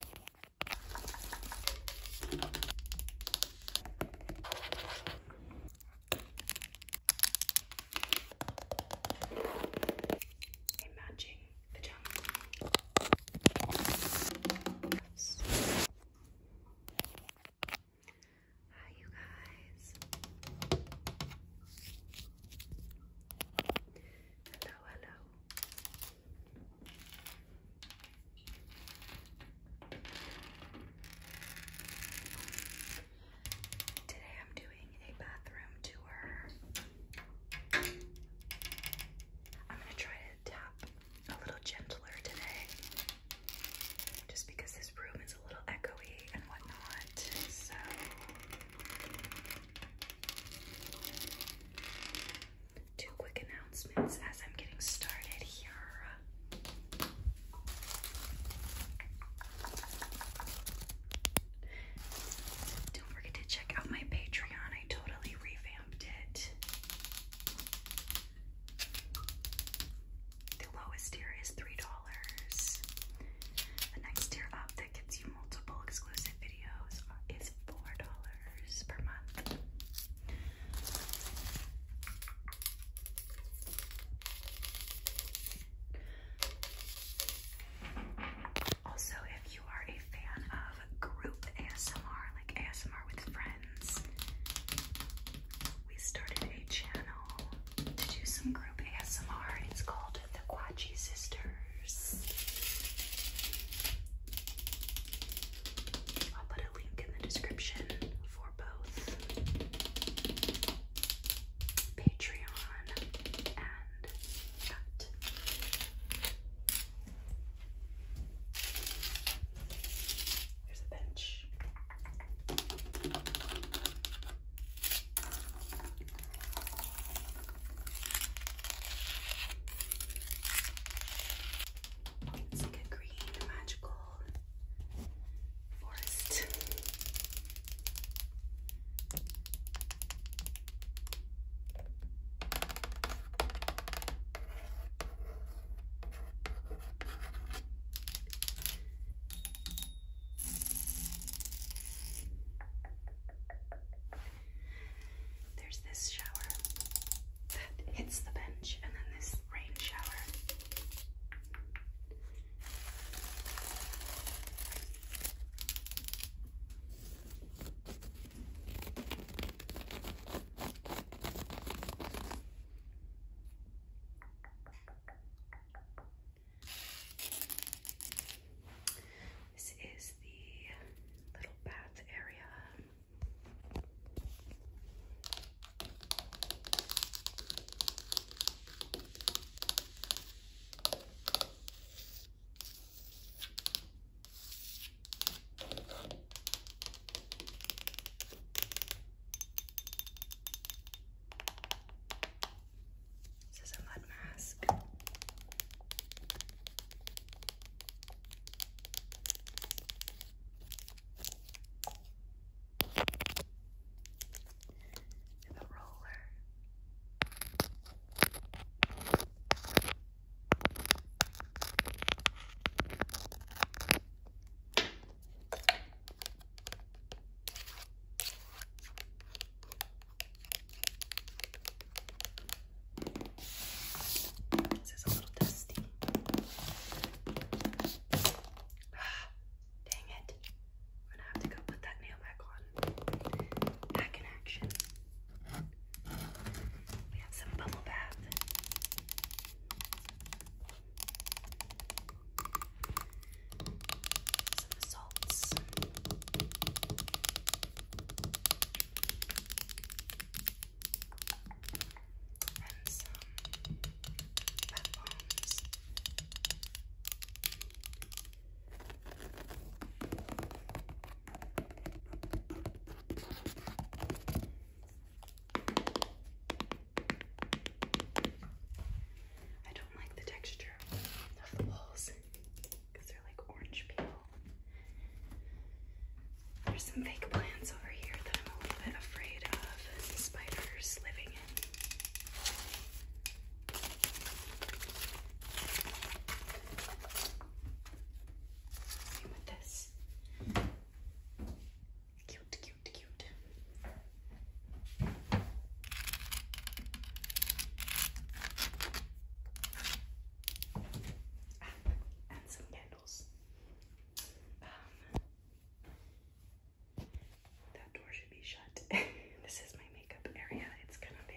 A matching pajama. Hi, you guys. Hello, hello. Today I'm doing a bathroom tour. I'm going to try to tap a little gentler today just because this room is a little echoey and whatnot. So two quick announcements as I'm getting started here. Don't forget to check out my Patreon. I totally revamped it. The lowest tier is $3. The next tier up that gets you multiple exclusive videos is $4. Also, if you are a fan of group ASMR, like ASMR with friends, we started a channel to do some group ASMR. It's called the Quachi Sister. I'll put a link in the description for both Patreon and that. There's a bench. It's like a green, magical forest. There's this shower that hits the bench, and then this rain shower. This is the little bath area. This is a mud mask and the roller. All this is dang it. I'm gonna have to go put that nail back on. Back in action. We have some bubble bath. Some salts and some bath I don't like the texture of the walls because they're like orange peel. There's some fake plants over here that I'm a little bit afraid of spiders living in. with this. Cute, cute, cute and some candles. Um, that door should be shut. this is my makeup area. It's kind of big.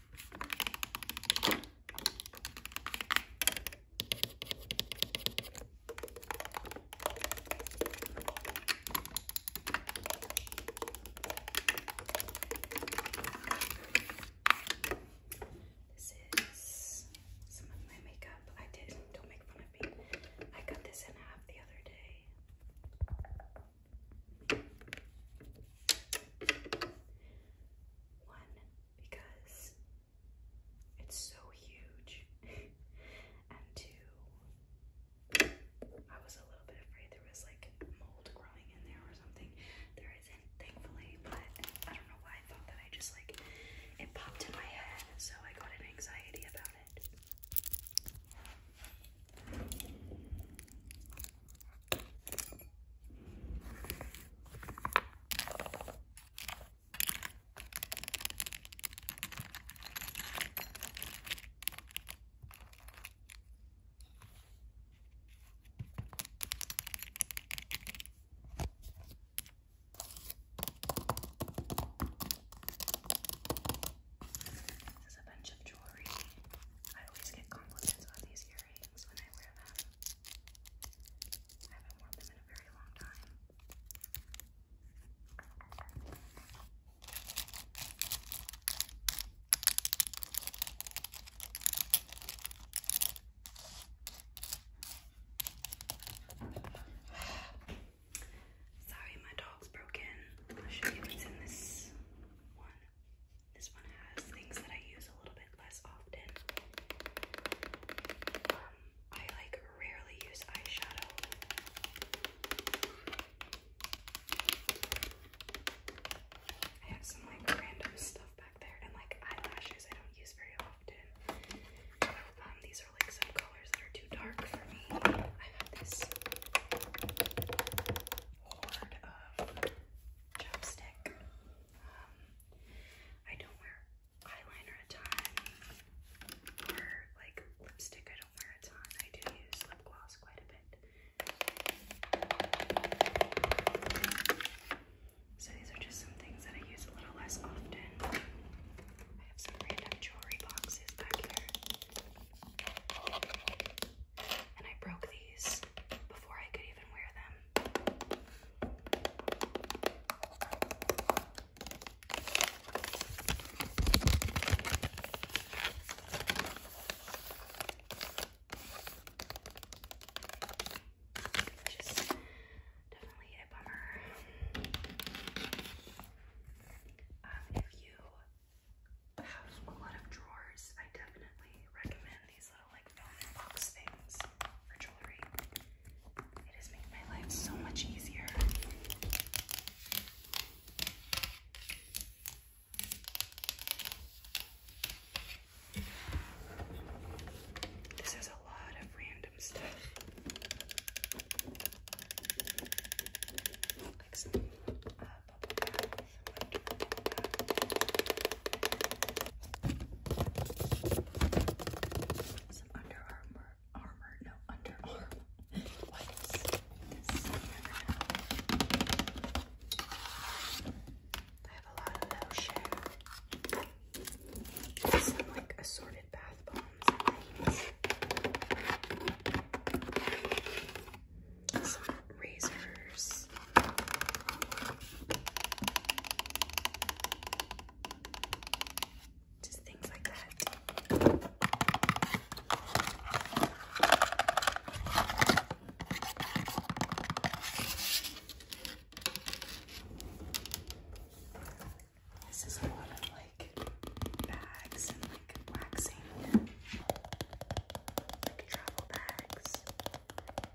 This is some of my makeup. I did, don't make fun of me. I cut this in half the other day. One, because it's so huge. and two, I was a little bit afraid there was like mold growing in there or something. There isn't, thankfully, but I don't know why I thought that I just like it popped in my head, so I got an anxiety about it. This is a bunch of jewelry. I always get compliments on these earrings when I wear them. I haven't worn them in a very long time. Sorry, my dog's broken. I'll show you what's in this one. This one has things that I use a little bit less often. Um, I like rarely use eyeshadow. I have some like random stuff back there and like eyelashes I don't use very often. Um, these are like some colors that are too dark for me. I have this horde of chapstick. Um, I don't wear eyeliner a ton, or like lipstick. I don't wear a ton. I do use lip gloss quite a bit. So these are just some things that I use a little less often. I have some random jewelry boxes back here. And I broke these before I could even wear them. Which definitely a bummer. Um, if you have a lot of drawers, I definitely recommend these little uh, like velvet box things for jewelry. It has made my life so much easier. This has a lot of random stuff. Like some uh, bubble wrap. Some Under Armour, Armour, no, Under Armour wipes. I have a lot of lotion. Some like assorted bath bombs some razors. Just things like that. This is a lot of like bags and like waxing, like travel bags.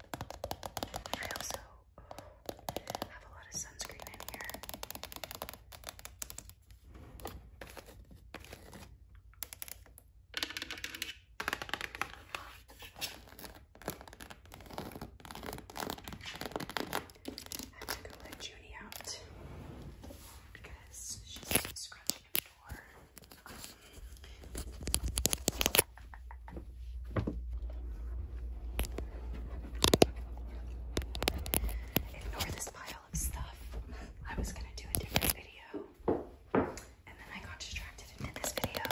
I also have a lot of sunscreen in here. have to go let Junie out because she's scratching ignore this pile of stuff. I was gonna do a different video, and then I got distracted and did this video.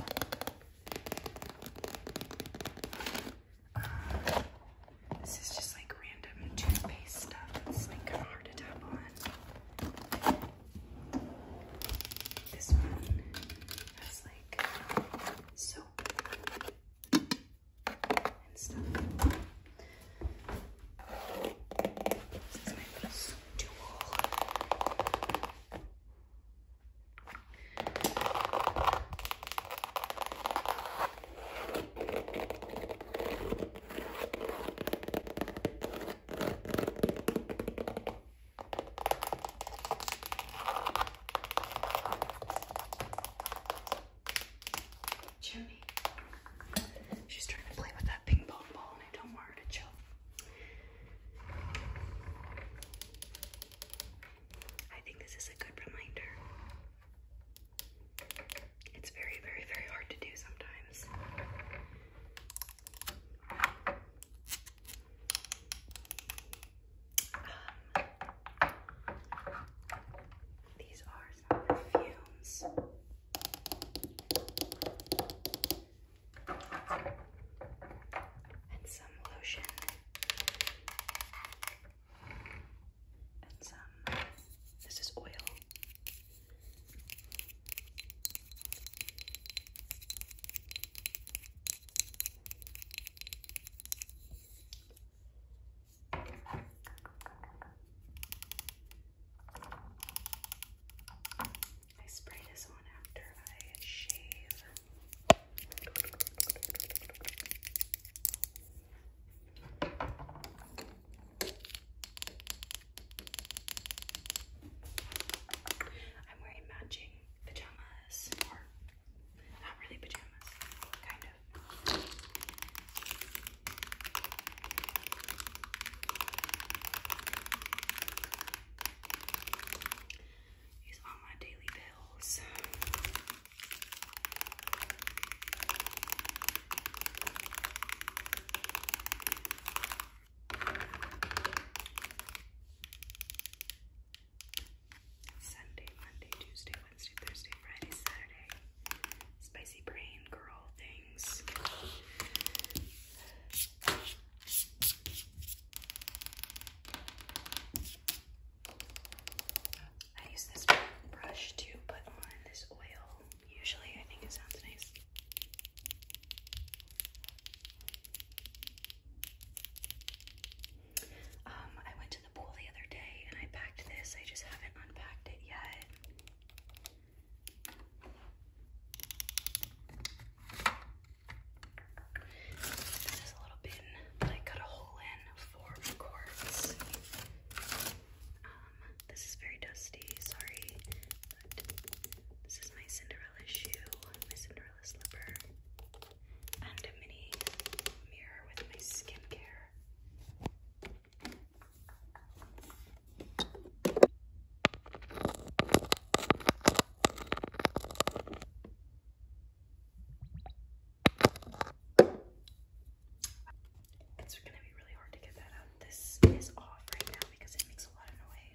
Uh, this is just like random toothpaste stuff. It's like kind of hard to tap on. This one has like soap and stuff. This my little stool. Jimmy. She's trying to play with that ping pong ball and I don't want her to choke. I think this is a good reminder. It's very, very, very hard to do sometimes these are some perfumes. And some lotion. And some, this is oil. I spray this on after I shave. I'm wearing matching pajamas, or not really pajamas, kind of. These are my daily bills. Sunday, Monday, Tuesday, Wednesday, Thursday, Friday, Saturday. Spicy brain girl things. I use this brush to put on this oil. Usually, I think it sounds nice. Um, I went to the pool the other day and I packed this. I just haven't unpacked it yet. This is a little bin I cut a hole in for records. Um, this is very dusty, sorry, this is my Cinderella Cinderella shoe, Cinderella slipper, and a mini mirror with my skincare. It's gonna be really hard to get that out. This is off right now because it makes a lot of noise.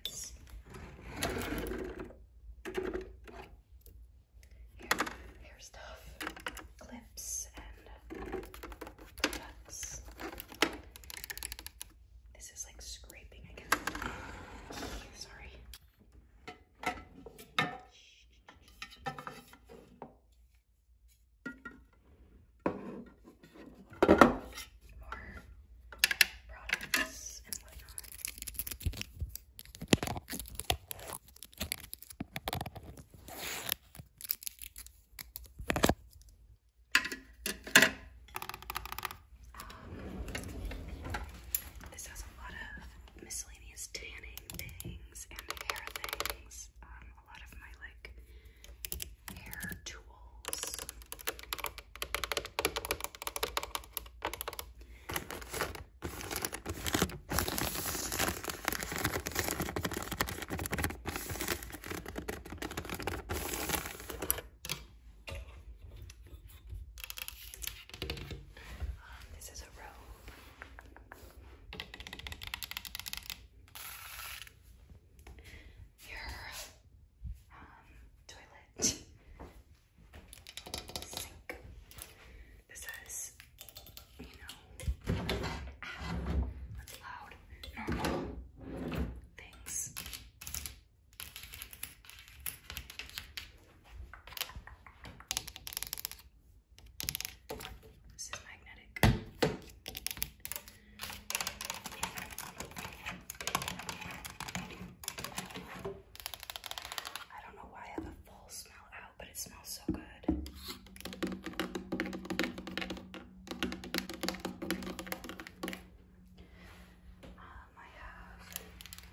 Hair, stuff, clips, and products. This is like scraping against the Sorry more products this has a lot of miscellaneous tanning things and hair things. Um, a lot of my like hair tools um, this is a robe your um, toilet sink. This is, you know, loud, normal things. This is magnetic. I don't know why I have a full smell out, but it smells so good. Um, I have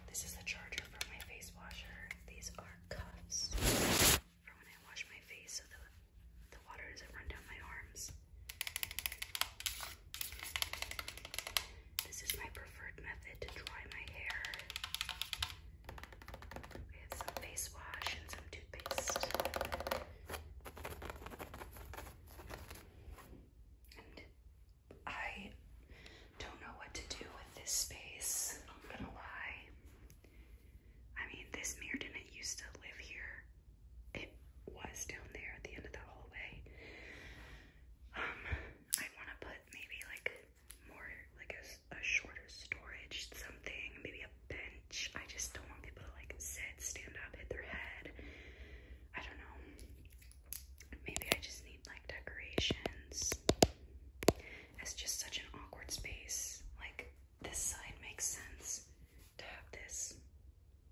this is the charger for my face washer. These are cuffs for when I wash my face so the the water doesn't run down my arms this. is my preferred method to dry my hair. I some face wash and some toothpaste. I don't know what to do with this space, I'm gonna lie. I mean, this mirror didn't used to live here it was down there at the end of the hallway. Um, I want to put maybe like more like a, a shorter storage something, maybe a bench. I just don't want people to like sit, stand up, hit their head. I don't know. Maybe I just need like decorations. It's just such an awkward space. Like this side makes sense to have this,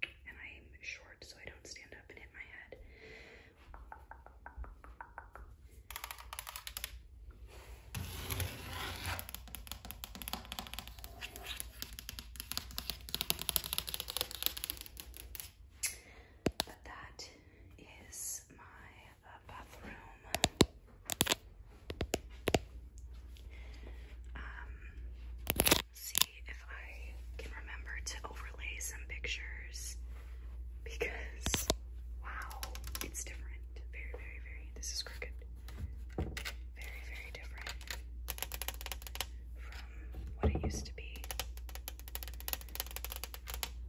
and I'm short so I don't stand up and hit my head. But that is my uh, bathroom. Um, see if I can remember to overlay some pictures because wow, it's different. Very, very, very. This is crooked. Very, very different from what it used to be.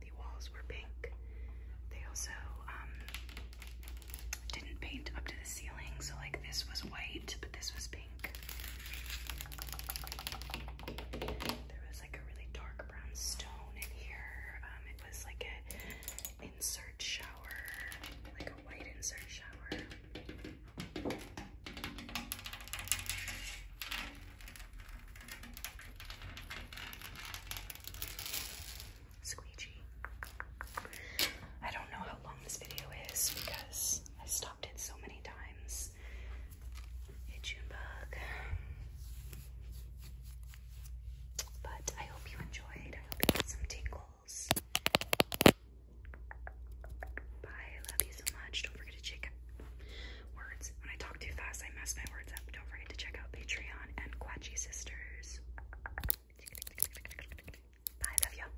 The walls were pink. They also um, didn't paint up to the ceiling, so like this was white, but this was there was like a really dark brown stone in here. Um, it was like a insert shower, like a white insert shower. Squeegee. I don't know how long this video is because I stopped it so many times. Hey, Junebug. But I hope you enjoyed. I hope you got some tingles. Bye. I love you so much. Don't forget to check words. When I talk too fast, I mess my words up. Don't forget to check out Patreon and Quatchy Sisters. Bye. Love you.